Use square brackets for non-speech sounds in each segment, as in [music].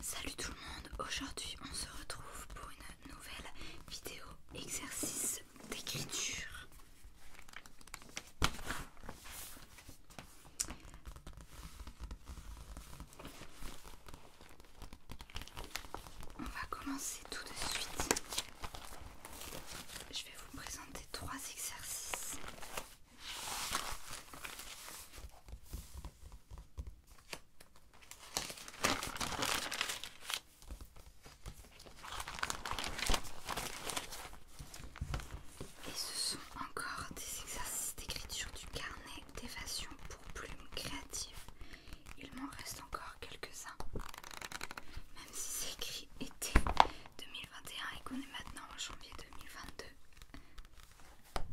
Salut tout le monde, aujourd'hui on se retrouve pour une nouvelle vidéo exercice d'écriture. On va commencer tout de suite. Je vais vous présenter trois exercices. Et ce sont encore des exercices d'écriture du carnet d'évasion pour plumes créatives. Il m'en reste encore quelques-uns. Même si c'est écrit été 2021 et qu'on est maintenant en janvier 2022, alors,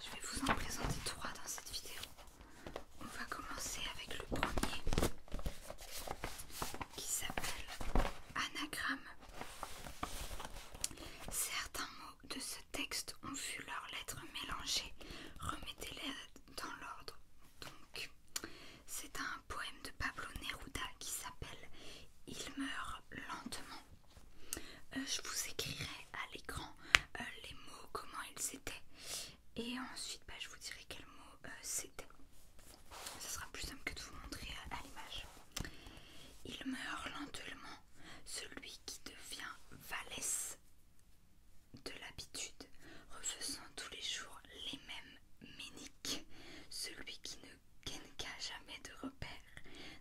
je vais vous en présenter trois dans cette vidéo. On va commencer avec le premier qui s'appelle anagramme. Certains mots de ce texte ont vu leurs lettres mélangées. Remettez-les dans l'ordre donc, c'est un poème de Pablo Neruda qui s'appelle Il meurt lentement. Euh, je vous écrirai à l'écran euh, les mots, comment ils étaient, et ensuite bah, je vous dirai quels mots euh, c'était. Ce sera plus simple que de vous montrer à l'image. Il meurt lentement, celui qui devient valesse de l'habitude, refaisant tous les jours les mêmes méniques. Celui qui ne qu'à jamais de repères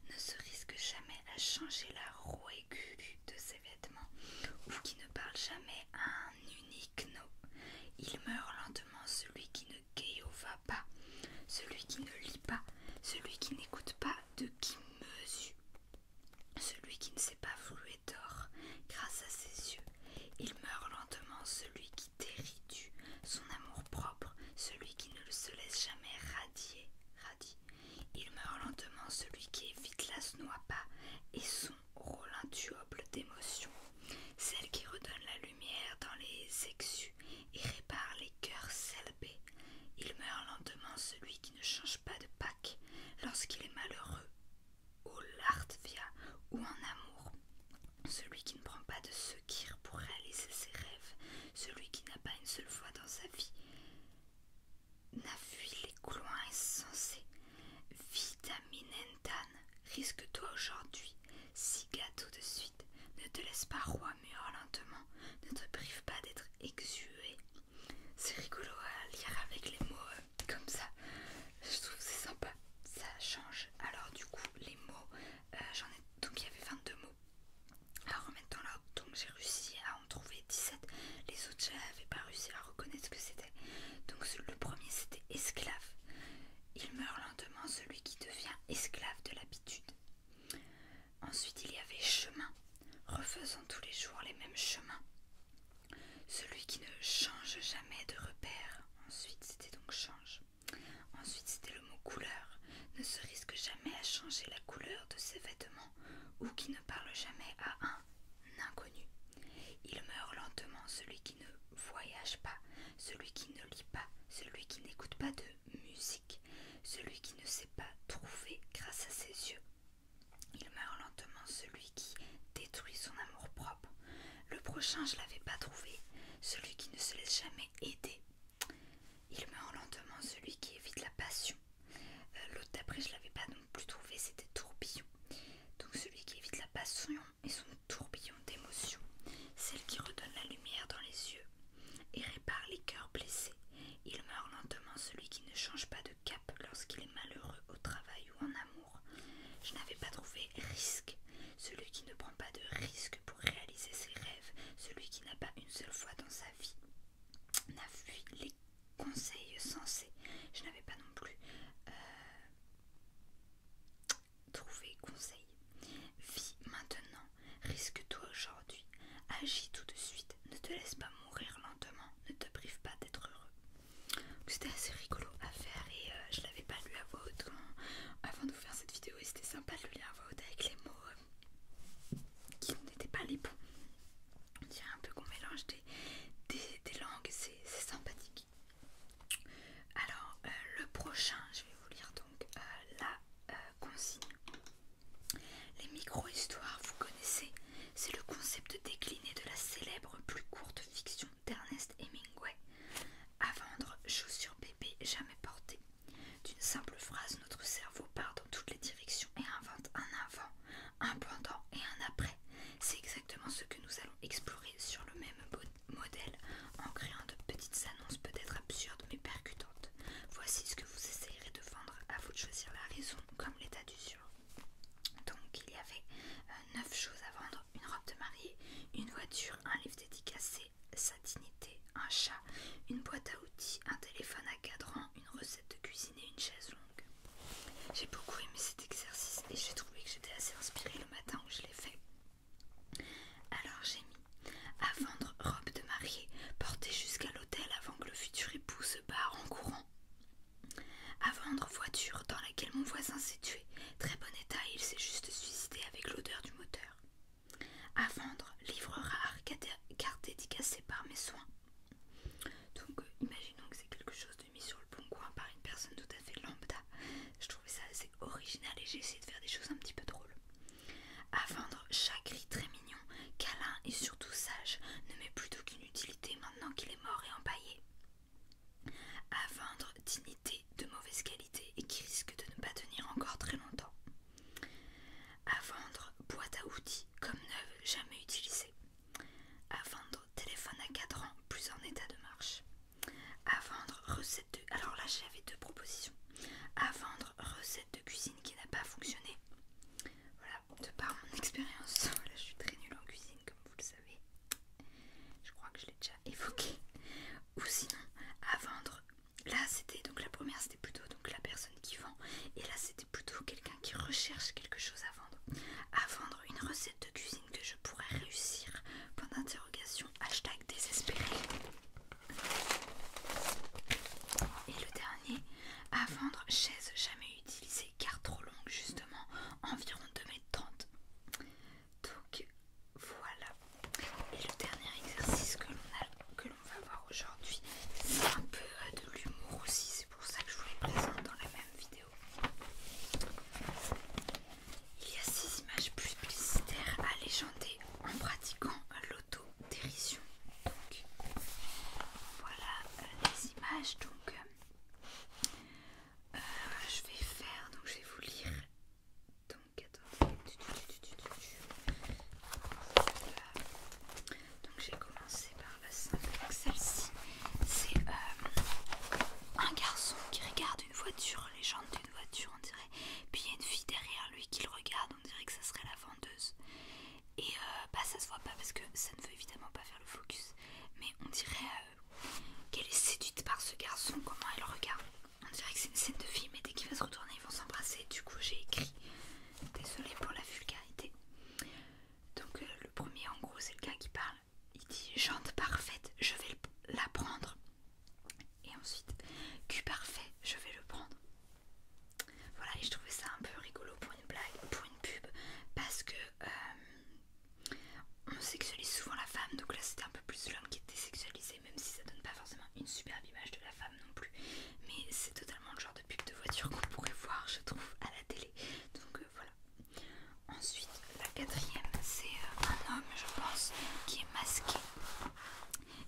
ne se risque jamais à changer la roue aiguë de ses vêtements ou qui ne parle jamais à un unique nom. Il meurt lentement celui qui ne va pas, celui qui ne lit pas, celui qui n'écoute pas, de qui mesure, celui qui ne sait pas flouer grâce à ses yeux. Il meurt lentement celui qui déritue son amour-propre, celui qui ne se laisse jamais radier. Il meurt lentement celui qui évite la pas et son rôle intuable d'émotion, celle qui redonne la lumière dans les exus et répare les cœurs selbés. Il meurt lentement celui qui ne change pas de Pâques lorsqu'il est malheureux l'art l'artvia ou en amour. Celui qui ne prend pas de secours pour réaliser ses rêves, celui qui n'a pas une seule fois dans sa vie n'a fui les couloirs insensés. Vitaminentan, risque-toi aujourd'hui, si gâteau de suite, ne te laisse pas roi lentement, ne te prive pas d'être exué. C'est rigolo à lire avec les mots euh, comme ça. Je trouve c'est sympa, ça change. Alors du coup les mots, euh, j'en ai donc il y avait 22 mots à remettre dans l'ordre, donc j'ai réussi à en trouver 17. Les autres j'avais pas réussi à reconnaître ce que c'était. Donc le premier c'était esclave. Il meurt lentement celui qui devient esclave de l'habitude. Ensuite il y avait chemin, refaisant tous les jours les mêmes chemins. Celui qui ne change jamais de repère. Ensuite, c'était donc change. Ensuite, c'était le mot couleur. Ne se risque jamais à changer la couleur de ses vêtements ou qui ne parle jamais à un inconnu. Il meurt lentement, celui qui ne voyage pas, celui qui ne lit pas, celui qui n'écoute pas de musique, celui qui ne sait pas trouver grâce à ses yeux il meurt lentement celui qui détruit son amour-propre. Le prochain, je l'avais pas trouvé. Celui qui ne se laisse jamais aider. Il meurt lentement celui qui évite la passion. Euh, l'autre d'après, je l'avais pas non plus trouvé, c'était tourbillon. Donc celui qui évite la passion et son tourbillon d'émotions. Celle qui redonne la lumière dans les yeux et répare les cœurs blessés. Il meurt lentement celui qui ne change pas de cap lorsqu'il est malheureux au travail ou en amour. Je n'avais pas trouvé risque. Celui qui ne prend pas de risque pour réaliser ses rêves, celui qui n'a pas une seule fois dans sa vie n'a fui les conseils sensés. Je n'avais pas non plus euh, trouvé conseil. Vie maintenant, risque-toi aujourd'hui, agis tout de suite, ne te laisse pas mourir lentement, ne te prive pas d'être heureux. C'était assez rigolo à faire et euh, je l'avais pas lu à voix haute avant de vous faire cette vidéo et c'était sympa de lui lire à voix haute avec les mots euh, qui n'étaient pas les bons. y a un peu qu'on mélange des, langues, c'est sympathique. Alors euh, le prochain, je vais vous lire donc la consigne. Les micro-histoires, vous connaissez c'est le concept décliné de la célèbre plus courte fiction d'Ernest Hemingway. À vendre, chaussures bébé jamais portées. D'une simple phrase, notre cerveau part dans toutes les directions et invente un avant, un pendant et un après. C'est exactement ce que nous allons explorer sur le même modèle en créant de petites annonces peut-être absurdes mais percutantes. Voici ce que vous essayerez de vendre à vous de choisir la raison comme l'état du d'usure. Donc il y avait 9 euh, choses à vendre, une robe de mariée, une voiture, un livre dédicacé, sa dignité, un chat, une boîte à outils, un téléphone à cadran, une recette de cuisine et une chaise longue. J'ai beaucoup aimé cet exercice et j'ai trouvé que j'étais assez inspirée le matin où je l'ai fait. Alors j'ai mis à vendre robe de mariée, portée jusqu'à l'hôtel avant que le futur époux se barre en courant. À vendre voiture dans laquelle mon voisin s'est tué. Très bon état, il s'est juste suicidé avec l'odeur du moteur. À vendre livre rare, carte dédicacée par mes soins. Donc, euh, imaginons que c'est quelque chose de mis sur le bon coin par une personne tout à fait lambda. Je trouvais ça assez original et j'ai essayé de faire des choses un petit peu drôles. À vendre chat très mignon, câlin et surtout sage, ne met plus d'aucune utilité qu'il est mort et empaillé, à vendre dignité de mauvaise qualité et qui risque de ne pas tenir encore très longtemps, à vendre boîte à outils comme neuve jamais utilisée, à vendre téléphone à cadran plus en état de marche, à vendre recette de... Alors là j'avais deux propositions, à vendre recette de cuisine qui n'a pas fonctionné voilà, de par mon expérience, [laughs] je suis très nulle en cuisine comme vous le savez. Je crois que je l'ai déjà évoqué. Ou sinon, à vendre. Là c'était, donc la première c'était plutôt donc la personne qui vend. Et là c'était plutôt quelqu'un qui recherche quelque chose à vendre. À vendre une recette de cuisine que je pourrais réussir. Point d'interrogation, hashtag désespéré. Et le dernier, à vendre chaise jamais utiliser car trop longue justement, environ 2 mètres 30 Donc voilà. Et le dernier exercice que l'on va voir aujourd'hui, c'est un peu euh, de l'humour aussi, c'est pour ça que je vous le présente dans la même vidéo. Il y a six images publicitaires à légender en pratiquant l'auto-dérision. Donc voilà euh, donc euh, euh, je vais faire, donc je vais vous lire. Donc, attendez. Donc j'ai commencé par la simple. Donc celle-ci, c'est euh, un garçon qui regarde une voiture, les jantes d'une voiture on dirait. Puis il y a une fille derrière lui qui le regarde, on dirait que ça serait la et euh, bah ça se voit pas parce que ça ne veut évidemment pas faire le focus mais on dirait euh, qu'elle est séduite par ce garçon comment elle regarde on dirait que c'est une scène de film et dès qu'il va se retourner ils vont s'embrasser du coup j'ai écrit désolé pour la vulgarité donc euh, le premier en gros c'est le gars qui parle il dit jante parfaite je vais la prendre et ensuite cul parfait je vais le prendre voilà, et je trouvais ça un peu rigolo pour une blague, pour une pub, parce que euh, on sexualise souvent la femme, donc là c'était un peu plus l'homme qui était sexualisé, même si ça donne pas forcément une superbe image de la femme non plus. Mais c'est totalement le genre de pub de voiture qu'on pourrait voir, je trouve, à la télé. Donc euh, voilà. Ensuite, la quatrième, c'est euh, un homme, je pense, qui est masqué.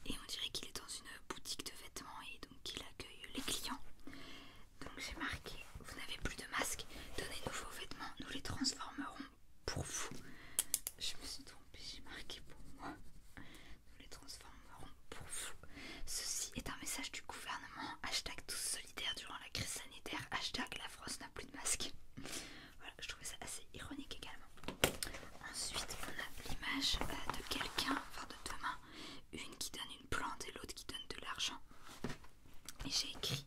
Et on dirait qu'il est dans une boutique de vêtements et donc accueille les clients. Donc j'ai marqué vous n'avez plus de masque, donnez-nous vos vêtements, nous les transformerons pour vous. Je me suis trompée, j'ai marqué pour moi. Nous les transformerons pour vous. Ceci est un message du gouvernement. Hashtag tous solidaires durant la crise sanitaire. Hashtag la France n'a plus de masque. Voilà, je trouvais ça assez ironique également. Ensuite, on a l'image euh, de quelqu'un, enfin de deux mains. Une qui donne plante et l'autre qui donne de l'argent. Et j'ai écrit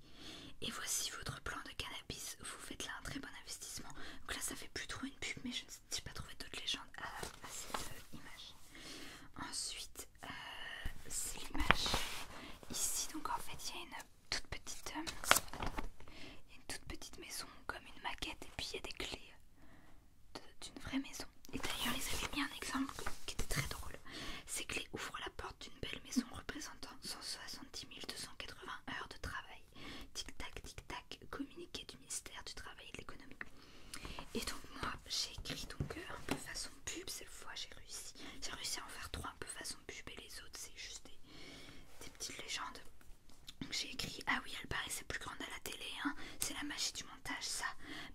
Et voici votre plan de cannabis, vous faites là un très bon investissement. Donc là, ça fait plus trop une pub, mais je ne sais pas trouvé d'autres légendes à, cette euh, image. Ensuite, euh, c'est l'image ici. Donc en fait, il y a une toute petite, euh, y a une toute petite maison, comme une maquette, et puis il y a des clés d'une vraie maison. Et d'ailleurs, ils avaient mis un exemple qui était très drôle. Ces clés ouvrent la porte d'une belle maison représentant 170 280 heures de travail. Tic-tac, tic-tac, communiqué du ministère du Travail et de l'économie. Et donc moi, j'ai écrit donc un peu façon pub, cette fois j'ai réussi. J'ai réussi à en faire trois un peu façon pub et les autres c'est juste des, petites légendes. j'ai écrit, ah oui, elle paraissait plus grande à la télé, hein. c'est la magie du monde ça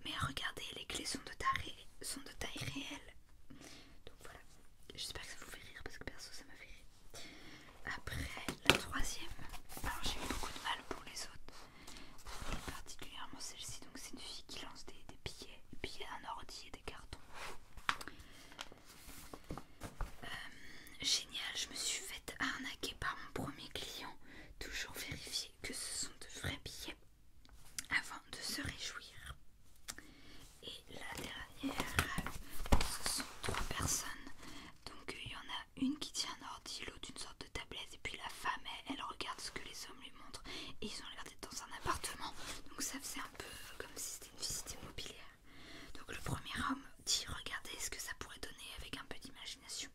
mais regardez les clés sont de taille, sont de taille réelle donc voilà j'espère que ça vous fait rire parce que perso ça m'a fait rire après la troisième alors j'ai eu beaucoup de mal pour les autres particulièrement celle-ci donc c'est une fille qui lance des, billets des billets d'un ordi et des cartons euh, génial je me suis faite arnaquer par mon premier client toujours vérifier que ce sont de vrais billets avant de se réjouir. Et la dernière, ce sont trois personnes. Donc il y en a une qui tient un ordi, l'autre une sorte de tablette, et puis la femme, elle, regarde ce que les hommes lui montrent. Et ils ont l'air d'être dans un appartement. Donc ça faisait un peu comme si c'était une visite immobilière. Donc le premier homme dit regardez ce que ça pourrait donner avec un peu d'imagination.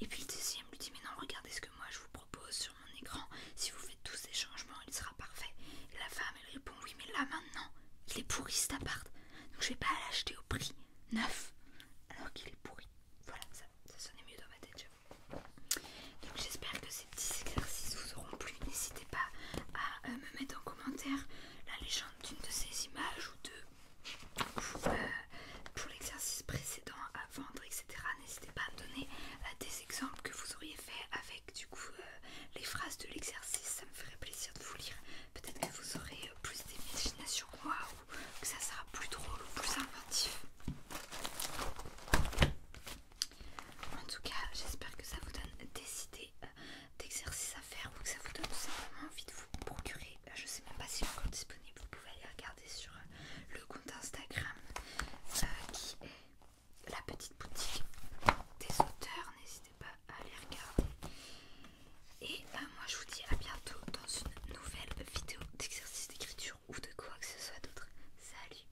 Et puis le deuxième lui dit mais non regardez ce que moi je vous propose sur mon écran. Si vous faites tous ces changements il sera parfait. la femme elle répond oui mais là maintenant il est pourri cet appart. Donc je vais pas l'acheter au prix neuf alors qu'il est pourri. Voilà ça, sonnait mieux dans ma tête Donc j'espère que ces petits exercices vous auront plu. N'hésitez pas à euh, me mettre en commentaire la légende d'une de ces images ou deux euh, pour, l'exercice précédent à vendre, etc. N'hésitez pas à me donner euh, des exemples que vous auriez fait avec du coup euh, les phrases de l'exercice. Ça me ferait plaisir de vous lire. Peut-être que vous aurez plus d'imagination que moi ou que ça sera plus drôle ou plus inventif. En tout cas, j'espère que ça vous donne des idées d'exercices à faire ou que ça vous donne simplement envie de vous procurer je ne sais même pas si encore disponible, vous pouvez aller regarder sur euh, le compte Instagram euh, qui est la petite boutique des auteurs, n'hésitez pas à aller regarder. Et bah, moi je vous dis à bientôt dans une nouvelle vidéo d'exercice d'écriture ou de quoi que ce soit d'autre. Salut